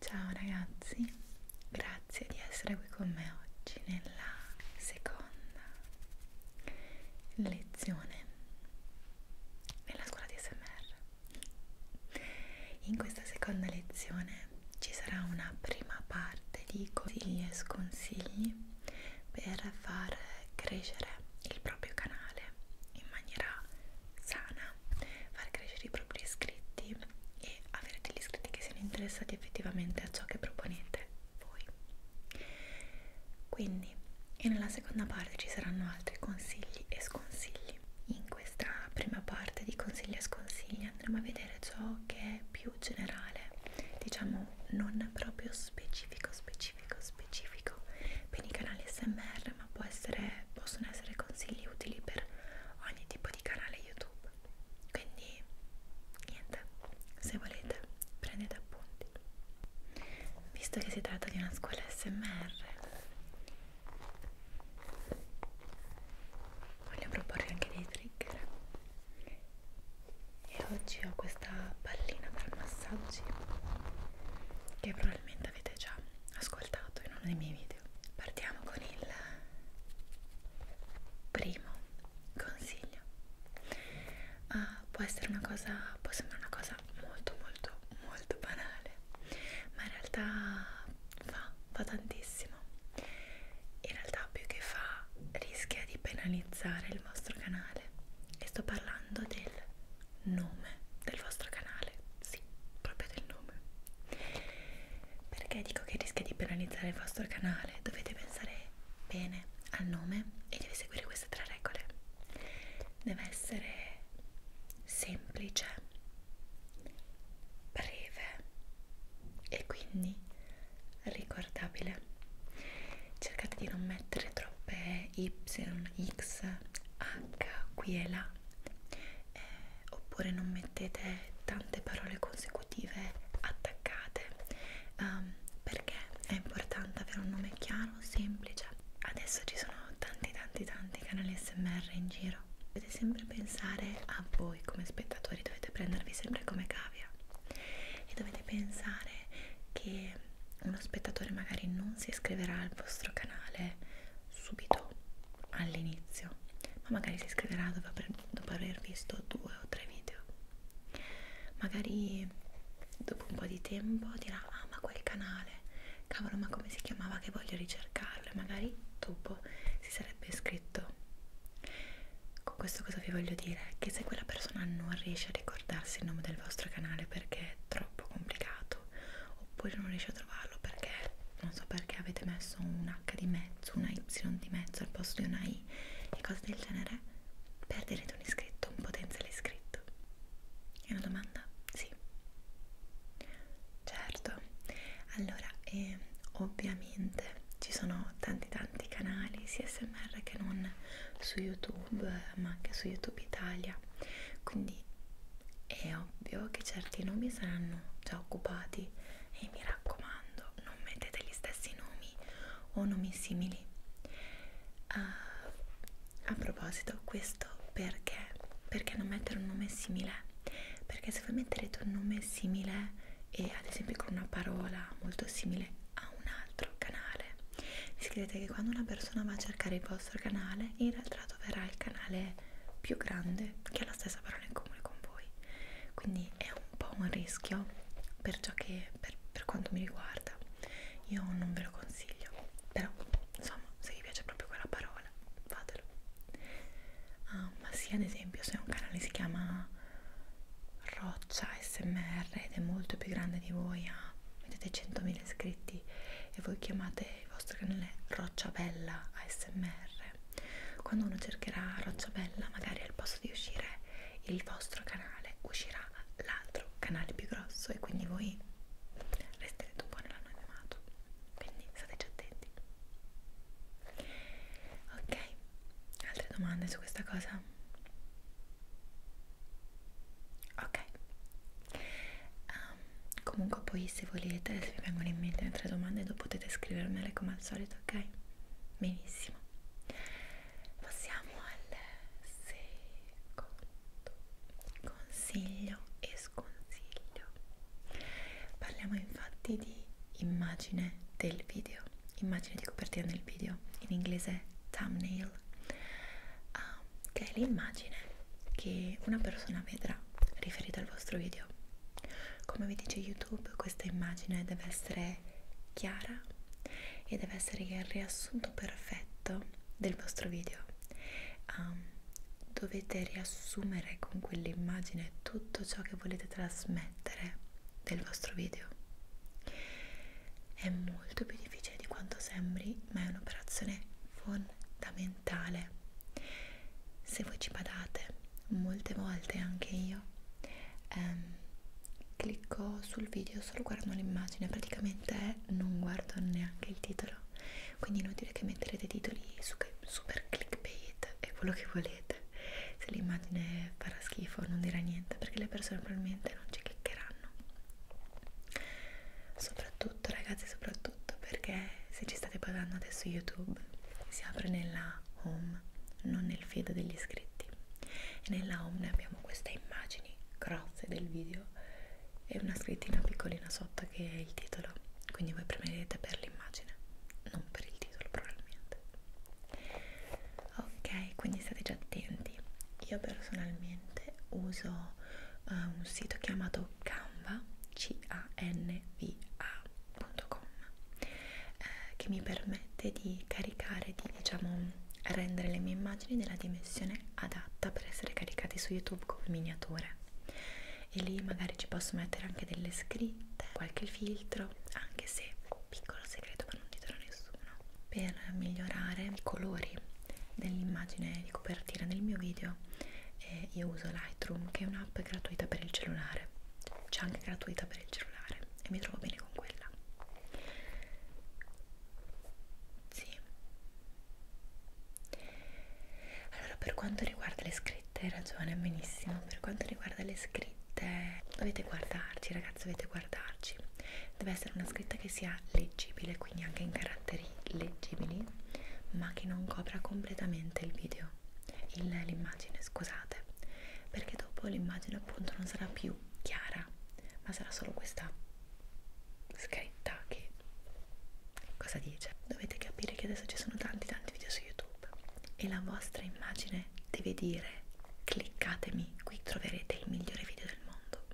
Ciao ragazzi, grazie di essere qui con me oggi nella seconda lezione nella scuola di SMR. In questa seconda lezione ci sarà una prima parte di consigli e sconsigli per far crescere il proprio canale in maniera sana, far crescere i propri iscritti e avere degli iscritti che siano interessati effettivamente a ciò che proponete voi. Quindi, e nella seconda parte ci saranno altri consigli e sconsigli. In questa prima parte di consigli e sconsigli quindi andremo a vedere ciò che è più generale diciamo non proprio specifico specifico specifico per i canali smr ma può essere, possono essere consigli utili per ogni tipo di canale youtube quindi niente se volete prendete appunti visto che si tratta di una scuola smr voglio proporre anche dei trigger e oggi ho questa pallina per massaggi che probabilmente avete già ascoltato in uno dei miei video partiamo con il primo consiglio uh, può essere una cosa può sembrare una cosa molto molto molto banale ma in realtà fa, fa tantissimo. In realtà più che fa rischia di penalizzare il vostro canale e sto parlando del nome del vostro canale, sì, proprio del nome. Perché dico che rischia di penalizzare il vostro canale? Dovete pensare bene al nome e deve seguire queste tre regole. Deve essere semplice breve e quindi ricordabile cercate di non mettere troppe y, x, h qui e là eh, oppure non mettete tante parole consecutive attaccate um, perché è importante avere un nome chiaro, semplice adesso ci sono tanti tanti tanti canali smr in giro vero dovete sempre pensare a voi come spettatori dovete prendervi sempre come cavia e dovete pensare che uno spettatore magari non si iscriverà al vostro canale subito all'inizio ma magari si iscriverà dopo, dopo aver visto due o tre video magari dopo un po' di tempo dirà ah ma quel canale cavolo ma come si chiamava che voglio ricercarlo e magari dopo si sarebbe iscritto con questo cosa vi voglio dire che se quella persona non riesce a ricordarsi il nome del vostro canale perché è troppo complicato oppure non riesce a trovarlo perché non so perché avete messo un H di mezzo una Y di mezzo al posto di una I e cose del genere perderete un iscritto un potenziale iscritto è una domanda? sì sì, certo. Allora, eh, ovviamente ci sono tanti tanti canali sia SMR che non su YouTube, ma anche su YouTube Italia. Quindi è ovvio che certi nomi saranno già occupati e mi raccomando, non mettete gli stessi nomi o nomi simili. Uh, a proposito, questo perché? Perché non mettere un nome simile perché se voi metterete un nome simile e ad esempio con una parola molto simile a un altro canale vi scrivete che quando una persona va a cercare il vostro canale in realtà troverà il canale più grande che ha la stessa parola in comune con voi quindi è un po' un rischio per ciò che per, per quanto mi riguarda io non ve lo consiglio però insomma se vi piace proprio quella parola canale, fatelo. Ah, ma sì, ad esempio, se un canale si chiama Roccia SMR ed è molto più grande di voi, ah, mettete 100.000 iscritti e voi chiamate il vostro canale Roccia Bella ASMR, quando uno cercherà Roccia Bella, magari al posto di uscire il vostro canale uscirà l'altro canale più grosso e quindi voi resterete un po' nell'anonimato quindi stateci attenti ok altre domande su questa cosa ok um, comunque poi se volete se vi vengono in mente altre domande potete scrivermele come al solito ok benissimo passiamo al secondo consiglio e sconsiglio. Parliamo infatti di immagine del video, immagine di copertina del video, in inglese thumbnail, ah, che è l'immagine che una persona vedrà riferita al vostro video. Come vi dice YouTube, questa immagine deve essere chiara e deve essere il riassunto perfetto del vostro video. Um, dovete riassumere con quell'immagine tutto ciò che volete trasmettere del vostro video. È molto più difficile di quanto sembri, ma è un'operazione fondamentale. Se voi ci badate, molte volte anche io ehm, clicco sul video solo guardando l'immagine, praticamente non guardo neanche il titolo quindi inutile che metterete titoli super clickbait e quello che volete se l'immagine farà schifo non dirà niente perché le persone probabilmente non ci cliccheranno soprattutto ragazzi soprattutto perché se ci state pagando adesso youtube si apre nella home non nel feed degli iscritti e nella home abbiamo queste immagini grosse del video e una scrittina piccolina sotto che è il titolo quindi voi premerete per l'immagine non per il titolo probabilmente ok quindi state già attenti io personalmente uso uh, un sito chiamato canva canva.com eh, che mi permette di caricare di diciamo rendere le mie immagini nella dimensione adatta per essere caricate su youtube come miniature e lì magari ci posso mettere anche delle scritte, qualche filtro, anche se piccolo segreto ma non ti darò nessuno, per migliorare i colori dell'immagine di copertina del mio video eh, io uso Lightroom che è un'app gratuita per il cellulare, c'è anche gratuita per il cellulare e mi trovo bene con quella. Sì, allora, per quanto riguarda le scritte, hai ragione, benissimo. Per quanto riguarda le scritte, dovete guardarci, ragazzi, dovete guardarci. Deve essere una scritta che sia leggibile, quindi anche in caratteri leggibili, ma che non copra completamente il video, l'immagine, scusate, perché dopo l'immagine appunto non sarà più chiara, ma sarà solo questa scritta che cosa dice? Dovete capire che adesso ci sono tanti tanti video su YouTube e la vostra immagine deve dire cliccatemi, qui troverete il migliore video del mondo.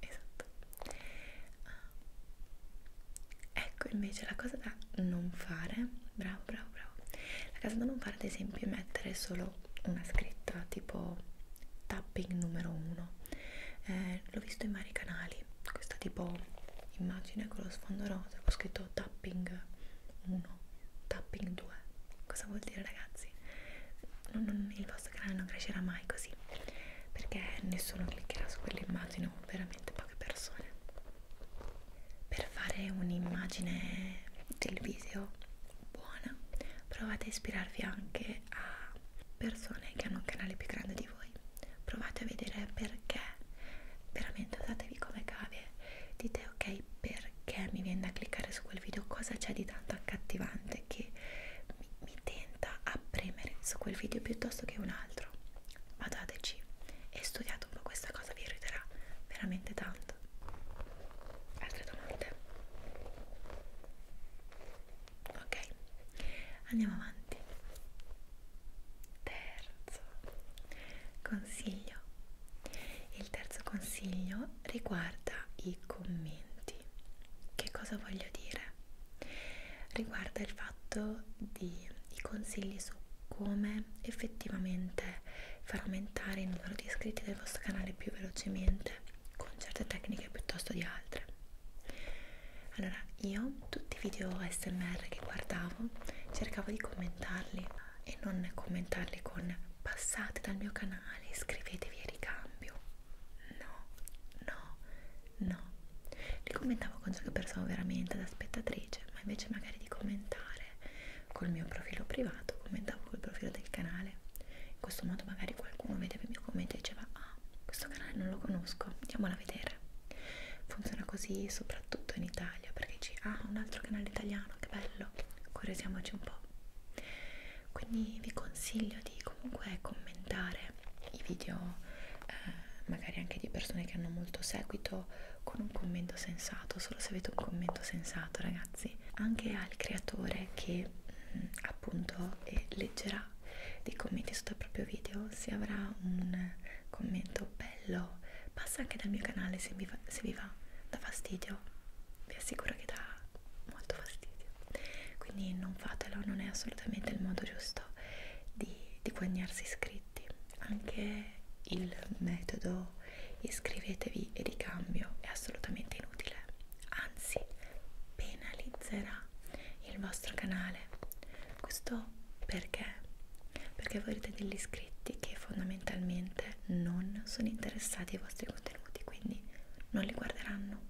esatto. Ah. Ecco invece la cosa da non fare, bravo bravo bravo, la cosa da non fare ad esempio è mettere solo una scritta tipo tapping numero 1 eh, l'ho visto in vari canali questa tipo immagine con lo sfondo rosa ho scritto tapping 1 tapping 2 cosa vuol dire ragazzi non, non, il vostro canale non crescerà mai così perché nessuno cliccherà su quell'immagine o veramente poche persone per fare un'immagine del video buona provate a ispirarvi anche a persone che hanno un canale più grande di voi provate a vedere perché veramente usatevi come cavie dite ok perché mi viene da cliccare su quel video cosa c'è di tanto accattivante che mi, mi tenta a premere su quel video piuttosto che un altro guardateci e studiate un po' questa cosa vi aiuterà veramente tanto altre domande ok andiamo avanti terzo consiglio il terzo consiglio riguarda i commenti che cosa voglio dire riguarda il fatto di i consigli su come effettivamente far aumentare il numero di iscritti del vostro canale più velocemente con certe tecniche piuttosto di altre allora io tutti i video smr che guardavo cercavo di commentarli e non commentarli con passate dal mio canale iscrivetevi a ricambio no no no li commentavo con ciò che pensavo veramente da spettatrice ma invece magari di commentare col mio profilo privato commentavo col profilo del canale in questo modo magari qualcuno vedeva il mio commento e diceva ah questo canale non lo conosco andiamolo a vedere funziona così soprattutto in Italia perché ci ah un altro canale italiano che bello curiosiamoci un po' quindi vi consiglio di comunque commentare i video eh, magari anche di persone che hanno molto seguito con un commento sensato solo se avete un commento sensato ragazzi anche al creatore che appunto e leggerà dei commenti sotto il proprio video se avrà un commento bello passa anche dal mio canale se vi, va, se vi va da fastidio vi assicuro che dà molto fastidio quindi non fatelo non è assolutamente il modo giusto di, di guadagnarsi iscritti anche il metodo iscrivetevi e ricambio è assolutamente inutile anzi penalizzerà il vostro canale questo perché perché voi avete degli iscritti che fondamentalmente non sono interessati ai vostri contenuti quindi non li guarderanno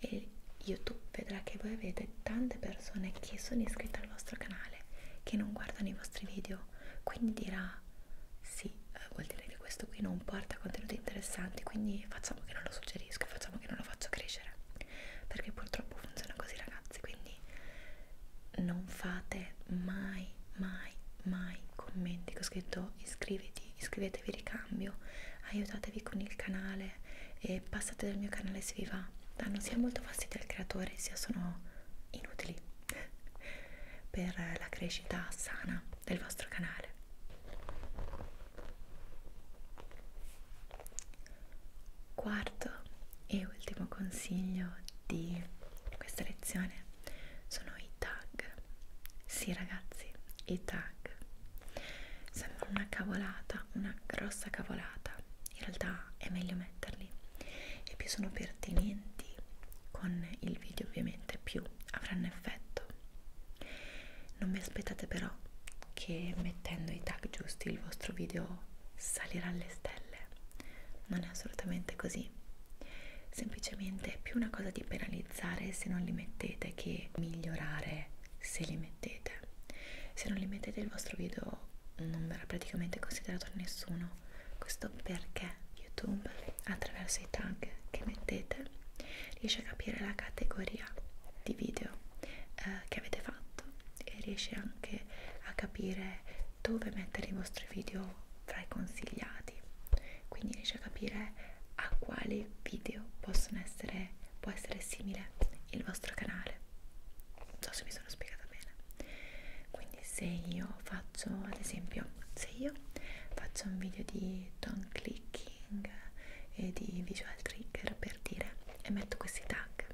e youtube vedrà che voi avete tante persone che sono iscritte al vostro canale che non guardano i vostri video quindi dirà sì, eh, vuol dire che questo qui non porta contenuti interessanti, quindi facciamo che non lo suggerisco, facciamo che non lo faccio crescere, perché purtroppo funziona così ragazzi, quindi non fate mai, mai, mai commenti che ho scritto iscriviti, iscrivetevi ricambio, aiutatevi con il canale e passate dal mio canale se vi va, danno ah, sia molto fastidio al creatore sia sono inutili per la crescita sana del vostro canale. Quarto e ultimo consiglio di questa lezione sono i tag. Sì ragazzi, i tag. Sembra una cavolata, una grossa cavolata. In realtà è meglio metterli e più sono pertinenti con il video ovviamente più avranno effetto perfetto non vi aspettate però che mettendo i tag giusti il vostro video salirà alle stelle non è assolutamente così semplicemente è più una cosa di penalizzare se non li mettete che migliorare se li mettete se non li mettete il vostro video non verrà praticamente considerato da nessuno questo perché YouTube attraverso i tag che mettete riesce a capire la categoria di video eh, che avete fatto e riesce anche a capire dove mettere i vostri video fra i consigliati quindi riesce a capire a quali video possono essere può essere simile il vostro canale non so se mi sono spiegata bene quindi se io faccio ad esempio se io faccio un video di tongue clicking e di visual trigger per dire e metto questi tag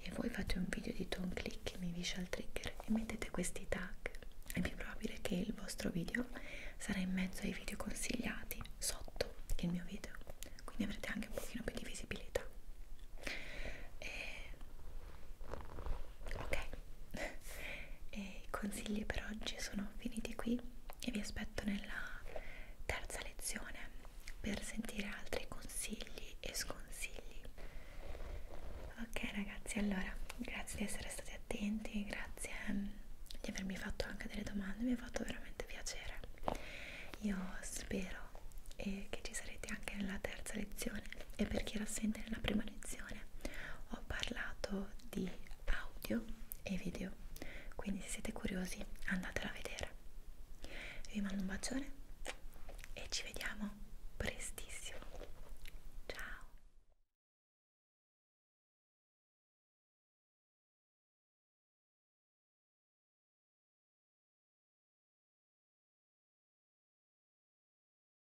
e voi fate un video di tongue clicking e visual trigger e mettete questi tag è più probabile che il vostro video sarà in mezzo ai video consigliati sotto il mio video quindi avrete anche un pochino più di visibilità e ok e i consigli per oggi sono finiti qui e vi aspetto nella terza lezione per sentire altri consigli e sconsigli ok ragazzi allora grazie di essere stati attenti grazie mm, di avermi fatto anche delle domande mi ha fatto veramente piacere io spero eh, che ci sarete anche nella terza lezione e per chi era assente nella prima lezione lezione ho parlato di audio e video quindi se siete curiosi andatela a vedere vi mando un bacione e ci vediamo prestissimo ciao